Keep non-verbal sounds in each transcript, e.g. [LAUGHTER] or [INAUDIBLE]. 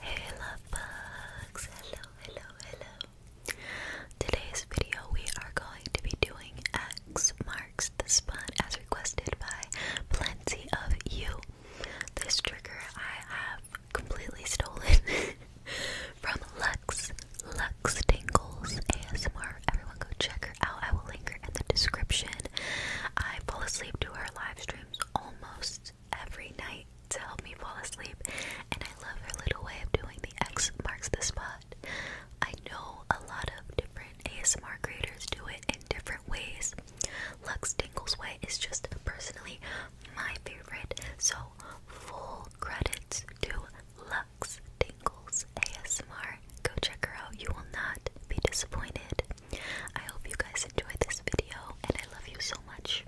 Hey love bugs! Hello, hello, hello. Today's video we are going to be doing X marks the spot as requested by plenty of you. This trigger I have completely stolen [LAUGHS] from Lux Lux Tingles ASMR. Everyone go check her out. I will link her in the description. I fall asleep to her live streams almost every night to help me fall asleep, and I love her little way of doing the X marks the spot. I know a lot of different ASMR creators do it in different ways. Lux Tingle's way is just personally my favorite, so full credits to Lux Tingles ASMR. Go check her out, you will not be disappointed. I hope you guys enjoyed this video, and I love you so much.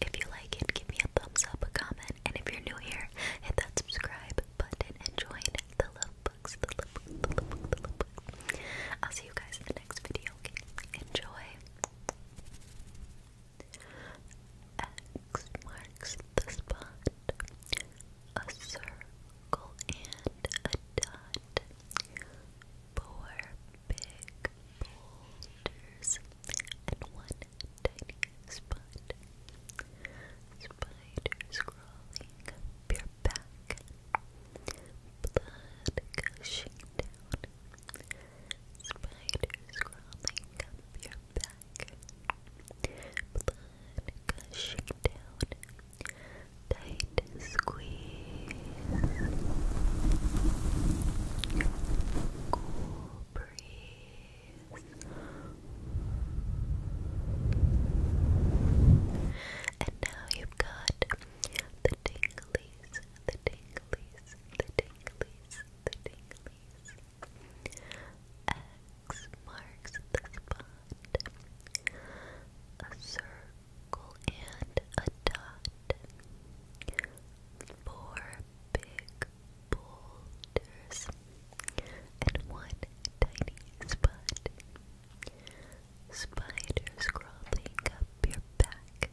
If you like it, give me a thumbs up, a comment, and if you're new here, hit that subscribe button and join the love books, the love books, the love books, the love books. I'll see you guys in the next video. Okay? Enjoy. X marks the spot. A circle and a dot four big boulders and one tiny spot. Spiders crawling up your back, blood gushing down. Spiders crawling up your back, blood gushing down. Tiny squeeze, cool breeze, and now you've got the tinglies, the tinglies, the tinglies, the tinglies. X marks the spot. A circle and a dot. Four big boulders and one tiny spot. Spiders crawling up your back.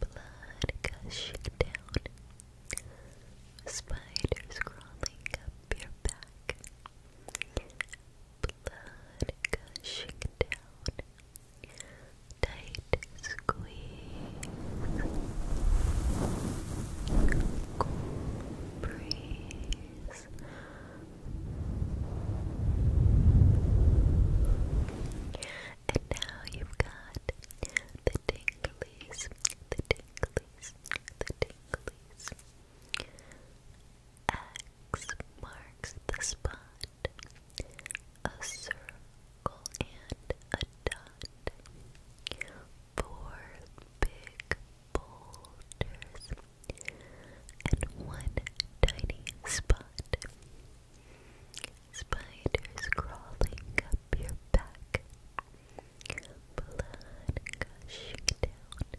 Blood gushing down. Spiders crawling up your back blood gushing down. Tight squeeze. Cool breeze. And now you've got the tinglies, the tinglies, the tinglies. X marks the spot a circle and a dot, four big boulders, and one tiny spot. Spiders crawling up your back, blood gushing down.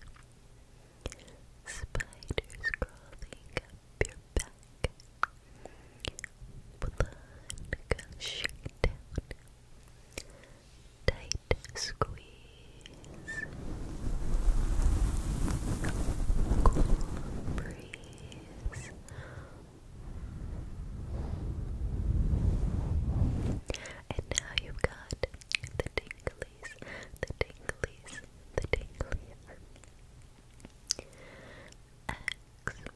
Spiders crawling up your back. Blood goes Tight squeeze. Cool breeze. And now you've got the tinglies, the tinglies, the tinglies. X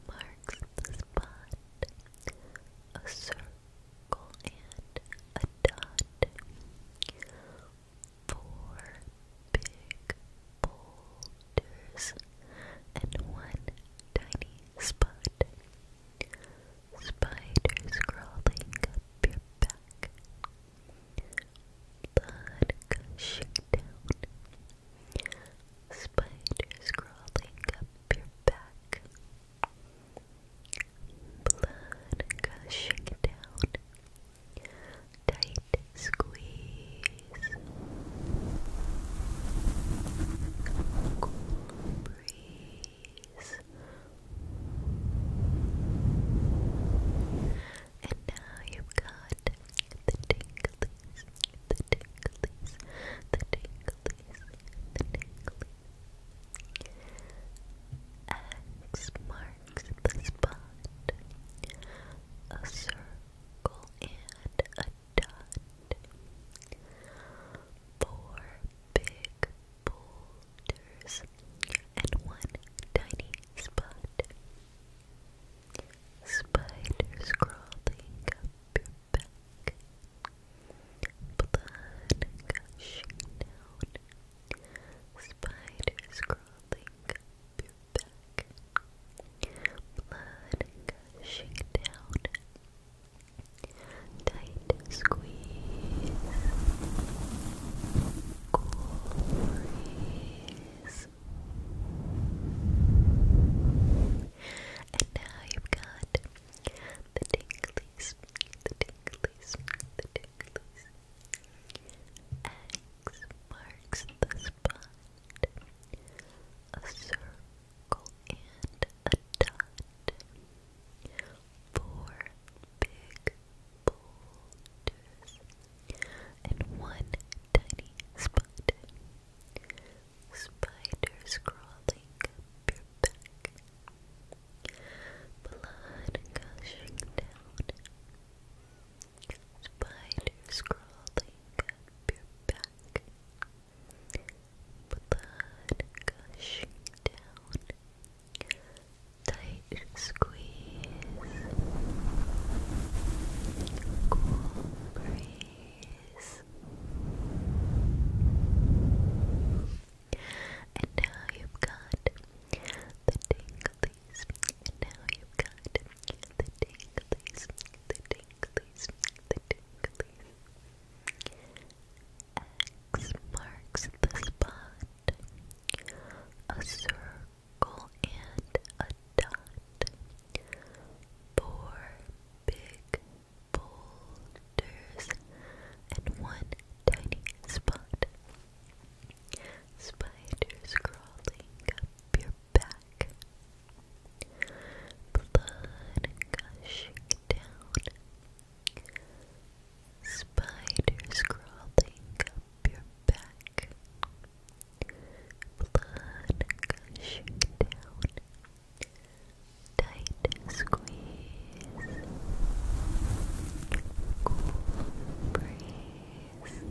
marks the spot, a circle and a dot. Four big boulders and one tiny spot. Spiders crawling up your back blood gushing down, spiders crawling up your back, blood gushing down, tight squeeze, cool breeze. And now you've got the tingleys, the tingleys, the tingleys, the tingleys. X marks the spot. A circle and a dot. Four big boulders and one tiny spot. Spiders crawling up your back, blood gushing down. Spiders crawling up your back, blood gushing down. Tight squeeze, cool breeze, and now you've got the tinglies, the tinglies, the tinglies. X marks the spot. A circle and a dot. Four big boulders in one tiny spot. Spiders crawling up your back. Blood gushing down. Spiders crawling up your back. Blood gushing down. Tight Squeeze. Cool breeze. And now you've got the tinglies. And now you've got the tinglies. The tinglies. The tinglies. X marks the spot. A circle circle and a dot. Four big boulders and one tiny spot. Spiders crawling up your back. Blood gushing down. Spiders crawling up your back. Blood gush down. Tight squeeze. Cool breeze.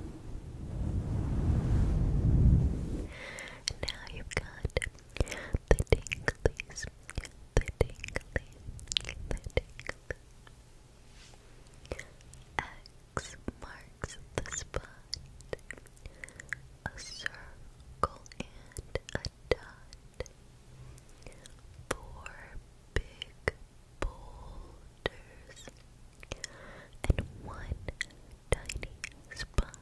now you've got the tinglies. The tinglies. The tinglies. X marks the spot. A circle and a dot. Four big boulders and one tiny spot.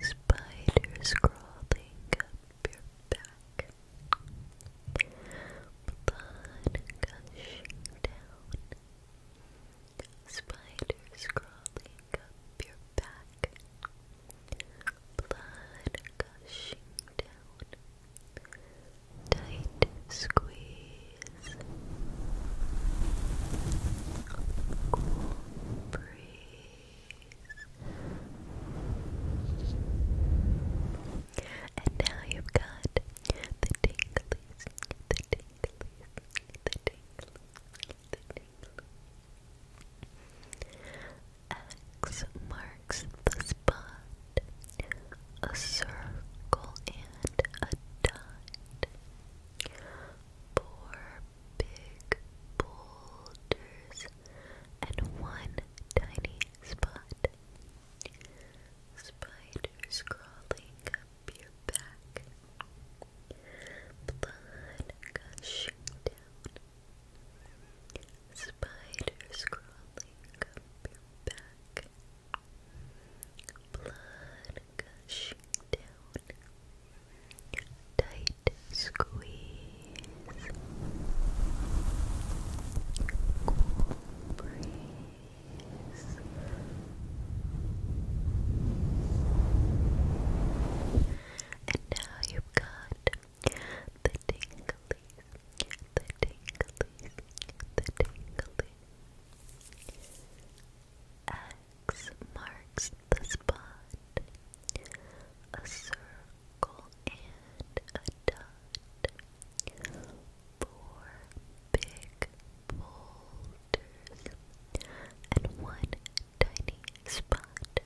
Spiders crawling up your back. Blood gushing down. Spiders crawling up your back. Blood gushing down. Tight squeeze. Cool breeze. And now you've got the tingles, the tingles, the tingles, the tingles. X marks the spot, a circle and a dot. Four big boulders and one tiny spot. Spiders crawling up your back. Blood gushing down. Spiders crawling up your back. Blood gushing down. Tight squeeze. Cool breeze. And now you've got the tinglies, the tinglies, the tingly. X marks the spot. A circle and a dot four big boulders and one tiny spot.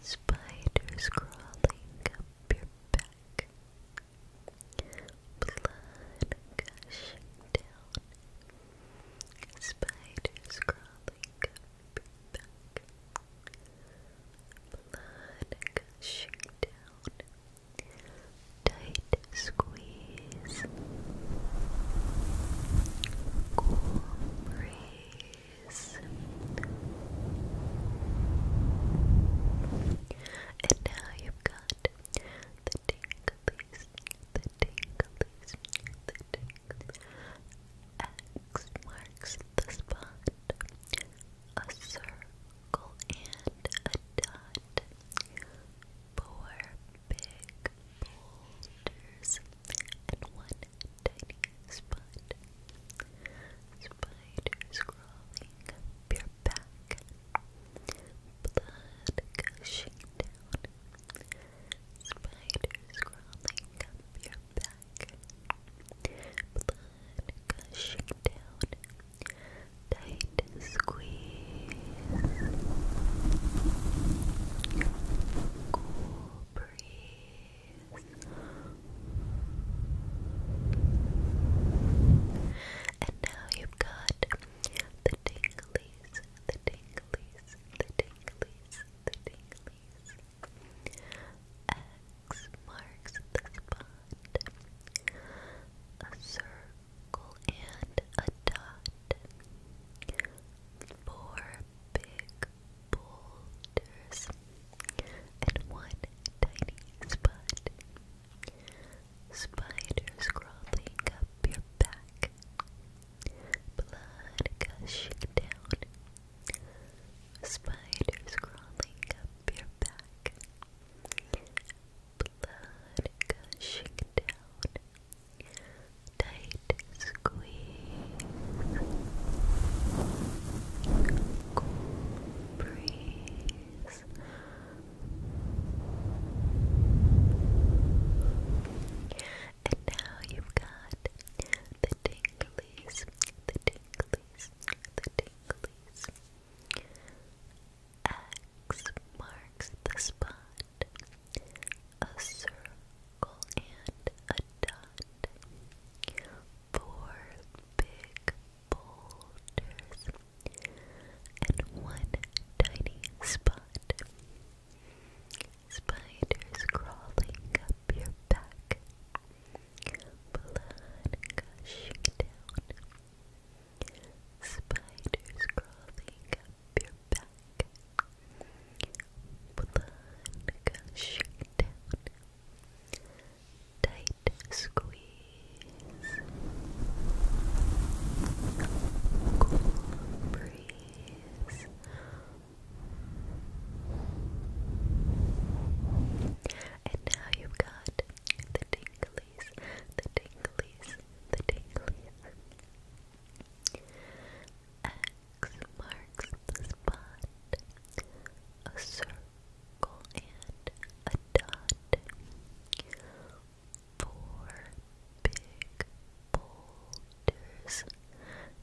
Spiders crawling up your back. Blood gushing down. Spiders crawling up your back. Blood gushing down. Tight squeeze. Cool breeze. And now you've got the tingleys, the tingleys, the tingleys. X marks the spot a circle, and a dot. Four big boulders and one tiny spot. Spiders crawling up your back. Blood gushing down. Spiders crawling up your back. Blood gushing down. Tight squeeze. Cool breeze. And now you've got the tinglies, the tinglies, the tinglies, the tinglies marks the spot. A circle and a dot. Four big boulders and one tiny spot. Spiders crawling up your back. Blood gushing down. Spiders crawling up your back. Blood gushing down. Tight squeeze. Cool breeze. And now you've got the tinglies, the tinglies, the tinglies, X marks the spot. A circle and a dot. Four big boulders and one tiny spot. Spiders crawling up your back. Blood gushing down. Spiders crawling up your back. Blood gushing down. Tight squeeze. Cool breeze. And now you've got the tinglies, the tinglies, the tinglies. X marks the spot. A circle and a dot. Four big boulders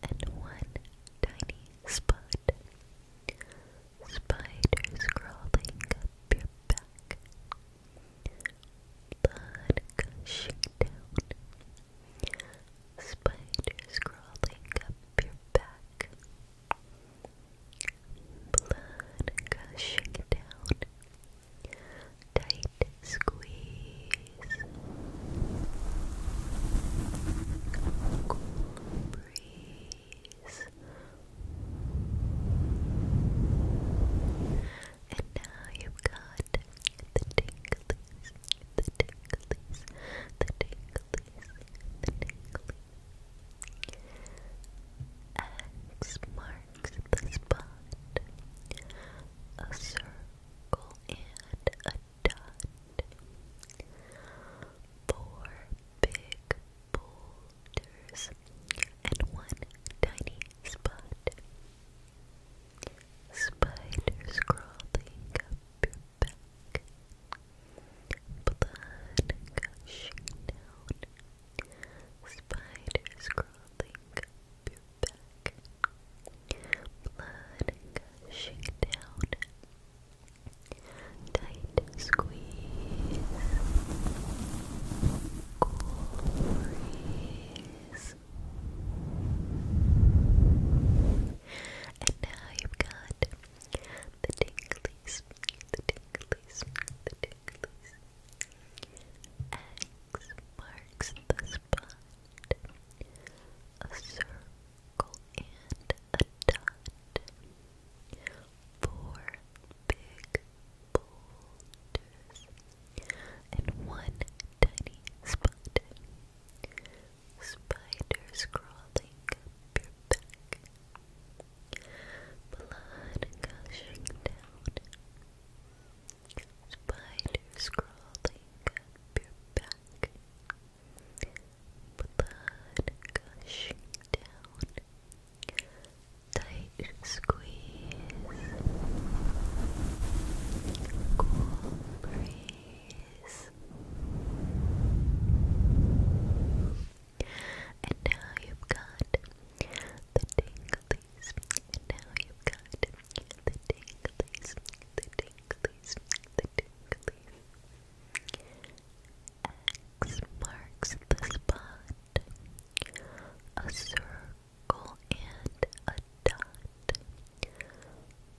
and one tiny spot. Spiders crawling up your back. Blood gushing down. Spiders crawling up your back. Blood gushing down. Tight squeeze. Cool breeze. And now you've got the tinklies, the tinklies, the tinklies, the tinklies. X marks the spot. A circle and a dot. Four big bulls shoulders, and one tiny spot. Spiders crawling up your back, blood gushing down. Spiders crawling up your back, blood gushing down. Tight squeeze. Cool And now you've got the tinglies, the tinglies, the tinglies. X marks the spot. A circle and a dot. Four big boulders and one tiny spot. Spiders crawling up your back. Blood gushing down. Spiders crawling up your back. Blood gushing down tight squeeze, cool breeze. And now you've got the tinglies. And now you've got the tinglies, the tinglies, the tinglies. X marks the spot. A circle and a dot.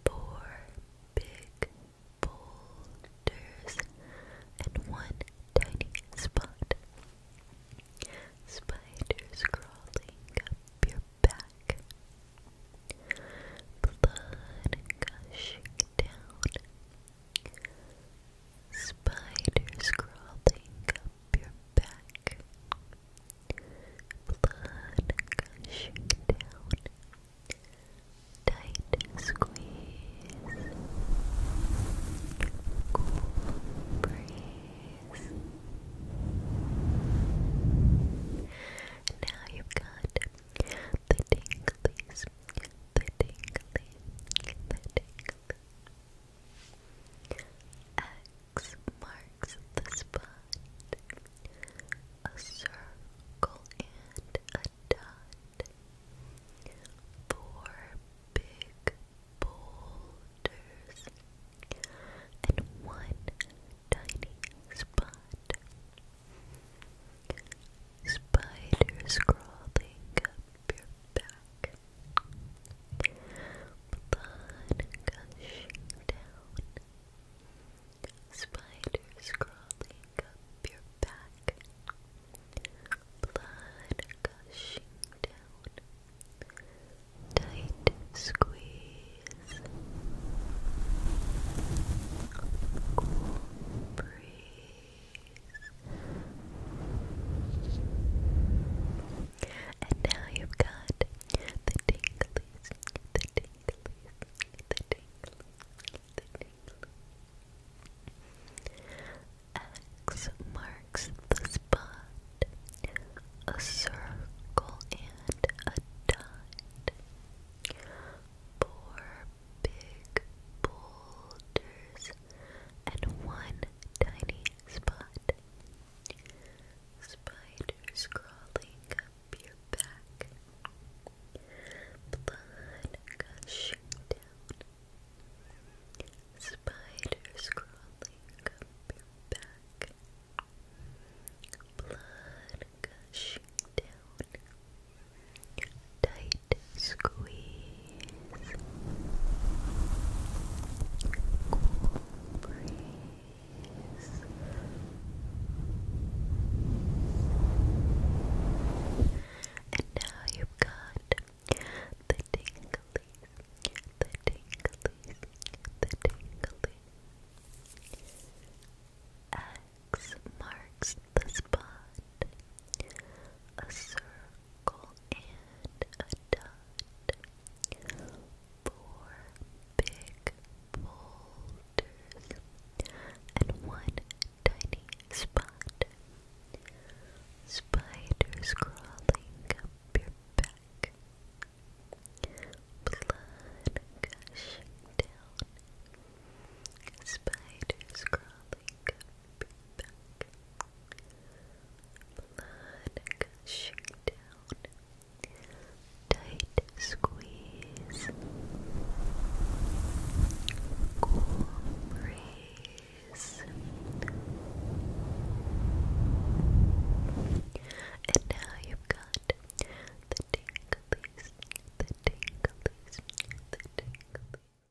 Four big boulders and one tiny spot. Spiders crawling up your back. Blood gushing down Spiders crawling up your back. Blood gushing down. Tight squeeze. Cool breeze. Now you've got the tingly the tingly, the tingly. X marks the spot, a circle and a dot. Four big boulders and one tiny spot. Spiders crawling your back. Blood gushing down. Spiders crawling up your back. Blood gushing down. Tight squeeze. Cool breeze. And now you've got the tinglies, the tinglies, the tinglies, the tinglies. X marks the spot, a circle and a dot. Four big boulders and one tiny spot. Spiders crawling up your back. Blood gushing down. Spiders crawling up your back. Blood gushing down. Tight squeeze, cool And now you've got the tinglies, the tinglies, the tinglies. X marks the spot. A circle and a dot. Four big boulders and one tiny spot. Spiders crawling up your back. Blood gushing down. Spiders crawling up Blood gushing down. Tight squeeze. Cool breeze. And now you've got the tinglies, the tinglies, the tinglies.